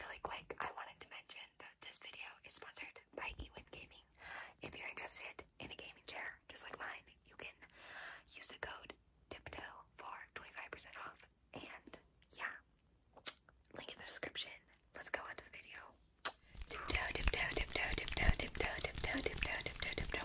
Really quick, I wanted to mention that this video is sponsored by Ewin Gaming. If you're interested in a gaming chair just like mine, you can use the code TIPTOE for 25% off. And yeah, link in the description. Let's go on the video. Tiptoe, tiptoe, tiptoe, tiptoe, tiptoe, tiptoe, tiptoe, tiptoe, tiptoe.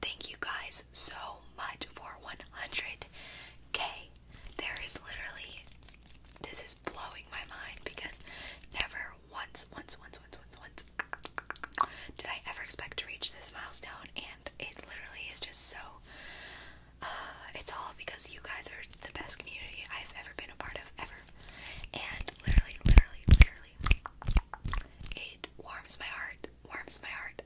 Thank you guys so much for 100k. There is literally, this is blowing my mind because never once, once, once, once, once, once did I ever expect to reach this milestone, and it literally is just so. Uh, it's all because you guys are the best community I've ever been a part of, ever. And literally, literally, literally, it warms my heart, warms my heart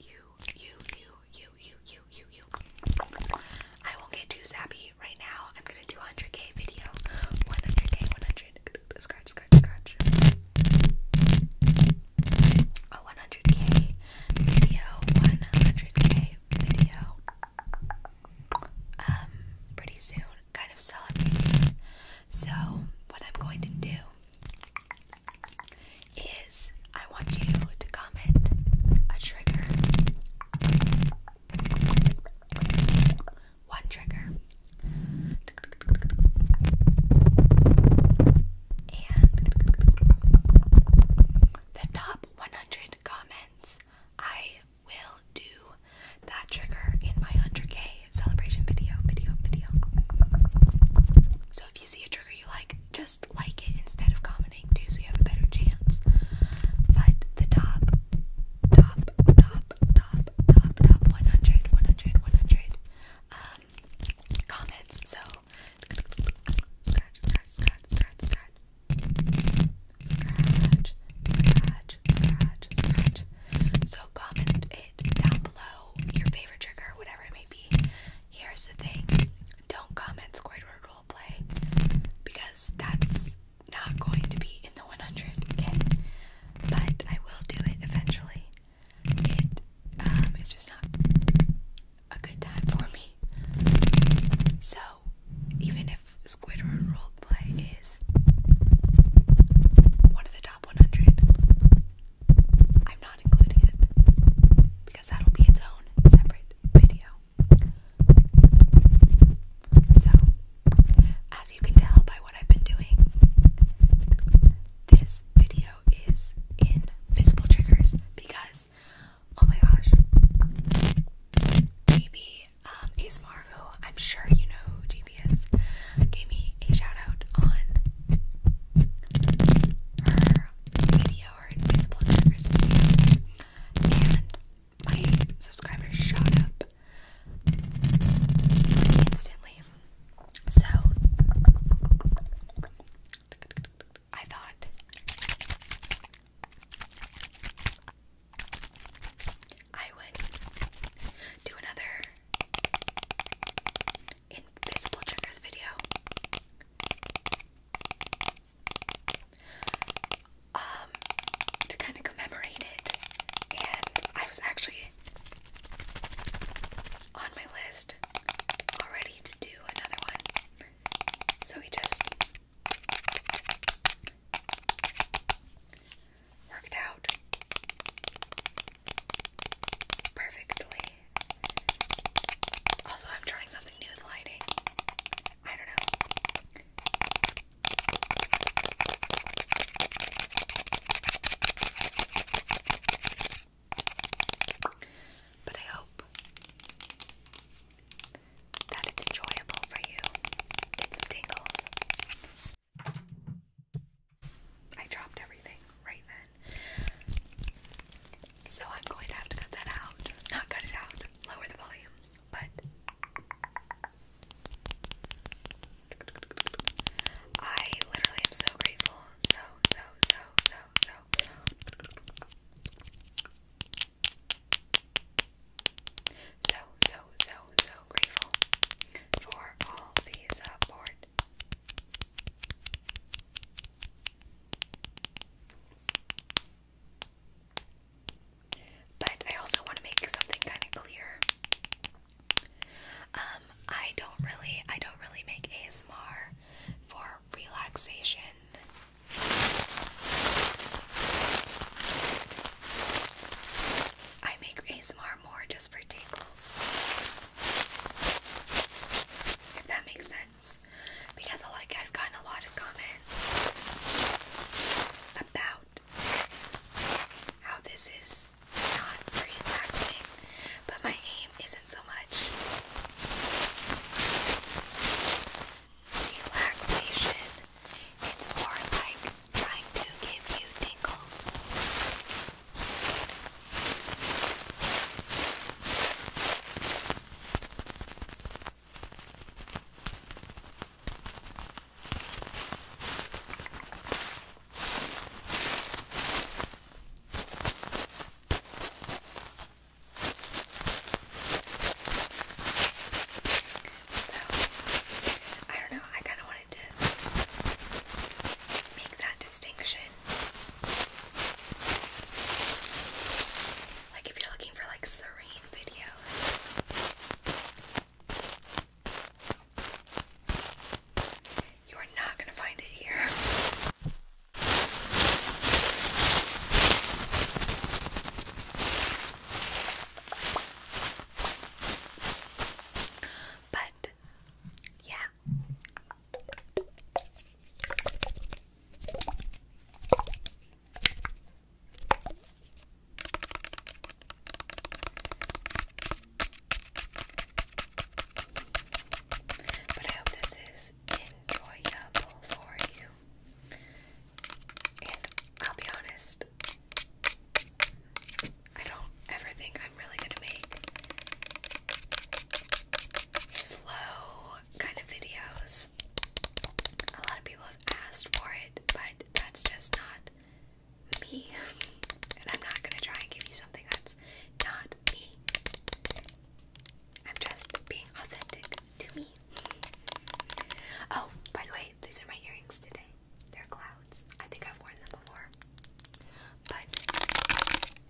you, you, you, you, you, you, you, you. I won't get too sappy right now. I'm gonna do a 100k video. 100k, 100. Scratch, scratch, scratch. A 100k video. 100k video. Um, pretty soon, kind of celebrating. So, what I'm going to do is I want you to comment a trigger. One trigger. And the top 100 comments, I will do that trigger in my 100k celebration video, video, video. So if you see a trigger you like, just like it instead of commenting too, so you have a better chance. But the top, top, top, top, top, top 100, 100, 100 um, comments. So scratch, scratch, scratch, scratch, scratch, scratch, scratch, scratch, scratch. So comment it down below your favorite trigger, or whatever it may be. Here's the thing don't comment Squidward roleplay because that's not going to be in the 100k. But I will do it eventually. Um, it's just not a good time for me. So even if Squidward roleplay is one of the top 100, I'm not including it because that'll be its own separate video. So, as you can tell by what I've been doing, this video is in triggers because, oh my gosh, GB um, ASMR, who I'm sure you know who GB is, gave me a shout on her video, her Invisible Universe video, and my subscribers shot up instantly. So I thought I would do another invisible triggers video. Um, to kind of commemorate it, and I was actually on my list already to do another one, so we just worked out perfectly. Also, I'm trying something new with lighting. I don't know. But I hope that it's enjoyable for you. Get some tingles. I dropped everything right then. So I'm going to have to cut that out. Not cut it out, lower the volume, but. I literally am so grateful. So, so, so, so, so. So, so, so, so grateful for all the support. But I also want to make something kind of clear. Um, I don't really, I don't really make ASMR for relaxation. I make ASMR more just for tingles. If that makes sense. Because like I've gotten a lot of comments about how this is not relaxing, but my aim isn't so much relaxation. It's more like trying to give you tingles. So, I don't know, I kind of wanted to make that distinction like if you're looking for like serene videos. You are not going to find it here. But yeah, but I hope this is enjoyable for you. And I'll be honest, I don't ever think I'm really gonna make slow kind of videos. A lot of people have asked for it, but that's just not me. And I'm not gonna try and give you something that's not me. I'm just being authentic to me. Oh, by the way, these are my earrings today. They're clouds. I think I've worn them before. But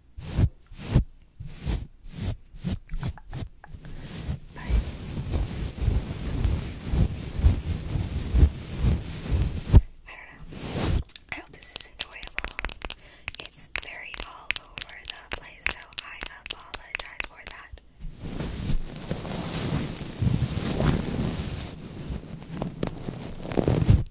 I don't know. I hope this is enjoyable. It's very all over the place, so I apologize for that.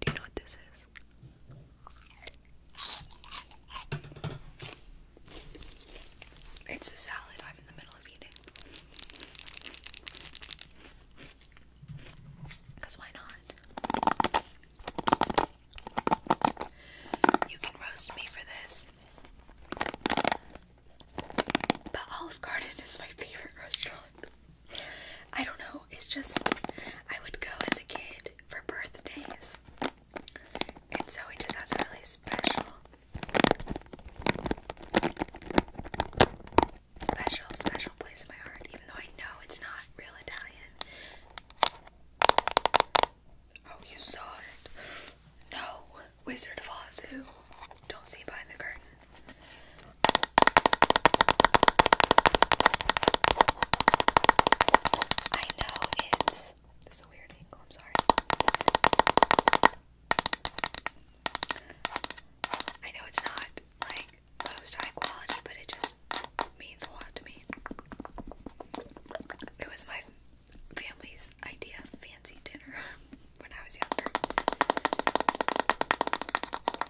Do you know what this is? It's a salad I'm in the middle of eating. Because why not? You can roast me for this. But Olive Garden is my favorite restaurant. I don't know. It's just I would go as a kid for birthdays, and so it just has a really special, special, special place in my heart. Even though I know it's not real Italian. Oh, you saw it? No, Wizard of Oz. Don't see behind the curtain. I know it's this weird I'm sorry. I know it's not like most high quality, but it just means a lot to me. It was my family's idea fancy dinner when I was younger.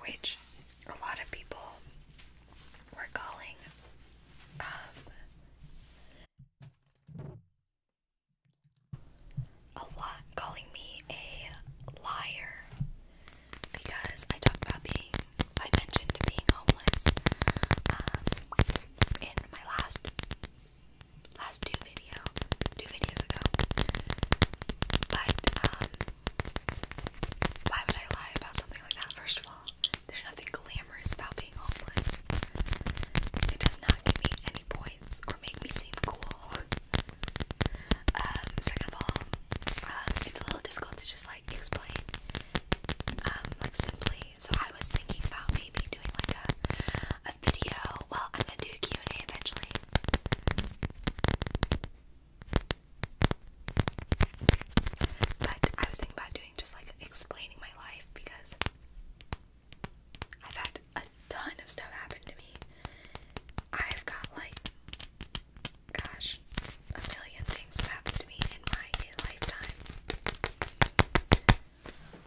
Which a lot of people were calling um, a lot calling me a liar because I talked about being I mentioned being homeless um, in my last last two video two videos ago but um, why would I lie about something like that, first of all? There's nothing glamorous about being homeless. It does not give me any points or make me seem cool. Um, second of all, um, it's a little difficult to just like explain, um, like simply. So I was thinking about maybe doing like a a video. Well, I'm gonna do Q and A eventually. But I was thinking about doing just like explaining my life because I've had a ton of stuff happen to me. I've got like, gosh, a million things have happened to me in my lifetime.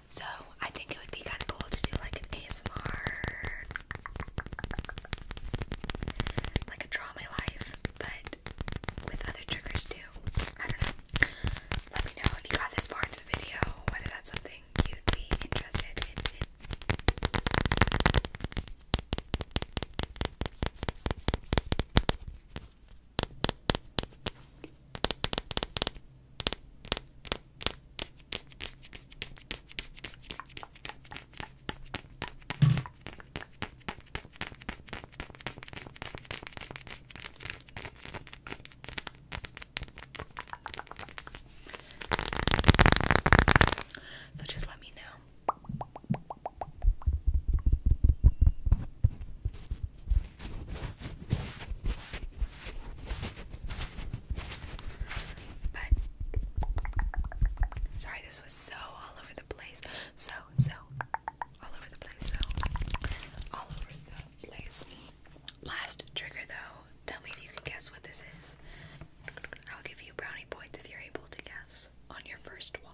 So I think it would be kind of cool to do like an ASMR like a draw my life, but with other triggers too. I don't know. Let me know if you got this far into the video, whether that's something you'd be interested in. So just let me know. But sorry, this was so all over the place. So, so all over the place. So all over the place. Last trigger though. Tell me if you can guess what this is. I'll give you brownie points if you're able to guess on your first watch.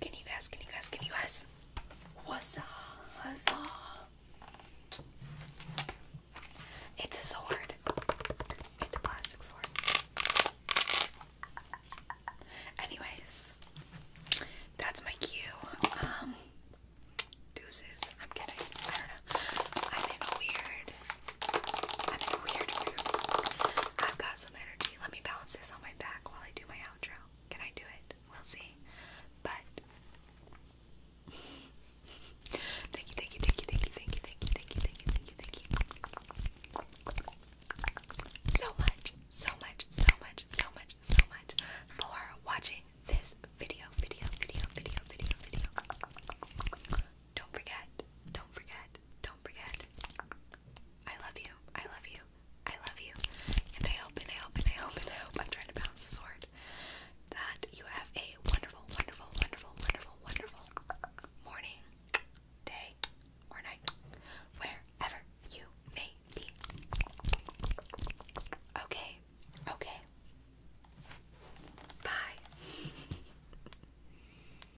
Can you guys, can you guys, can you guys? What's up? What's up? It's a sword. It's a plastic sword. Anyways, that's my cue. Um, deuces. I'm kidding. I don't know. I'm in weird I'm in weird mood. I've got some energy. Let me balance this on my back while I do my outro. Can I do it? We'll see. But thank you, thank you, thank you, thank you, thank you, thank you, thank you, thank you, thank you, thank you. So much, so much, so much, so much, so much for watching this video, video, video, video, video, video. Don't forget. Don't forget. Don't forget. I love you. I love you. I love you. And I hope and I hope and I hope and I hope I'm trying to balance the sword. That you have a wonderful, wonderful, wonderful, wonderful, wonderful morning, day, or night. Wherever you may be. Okay. Okay. Bye.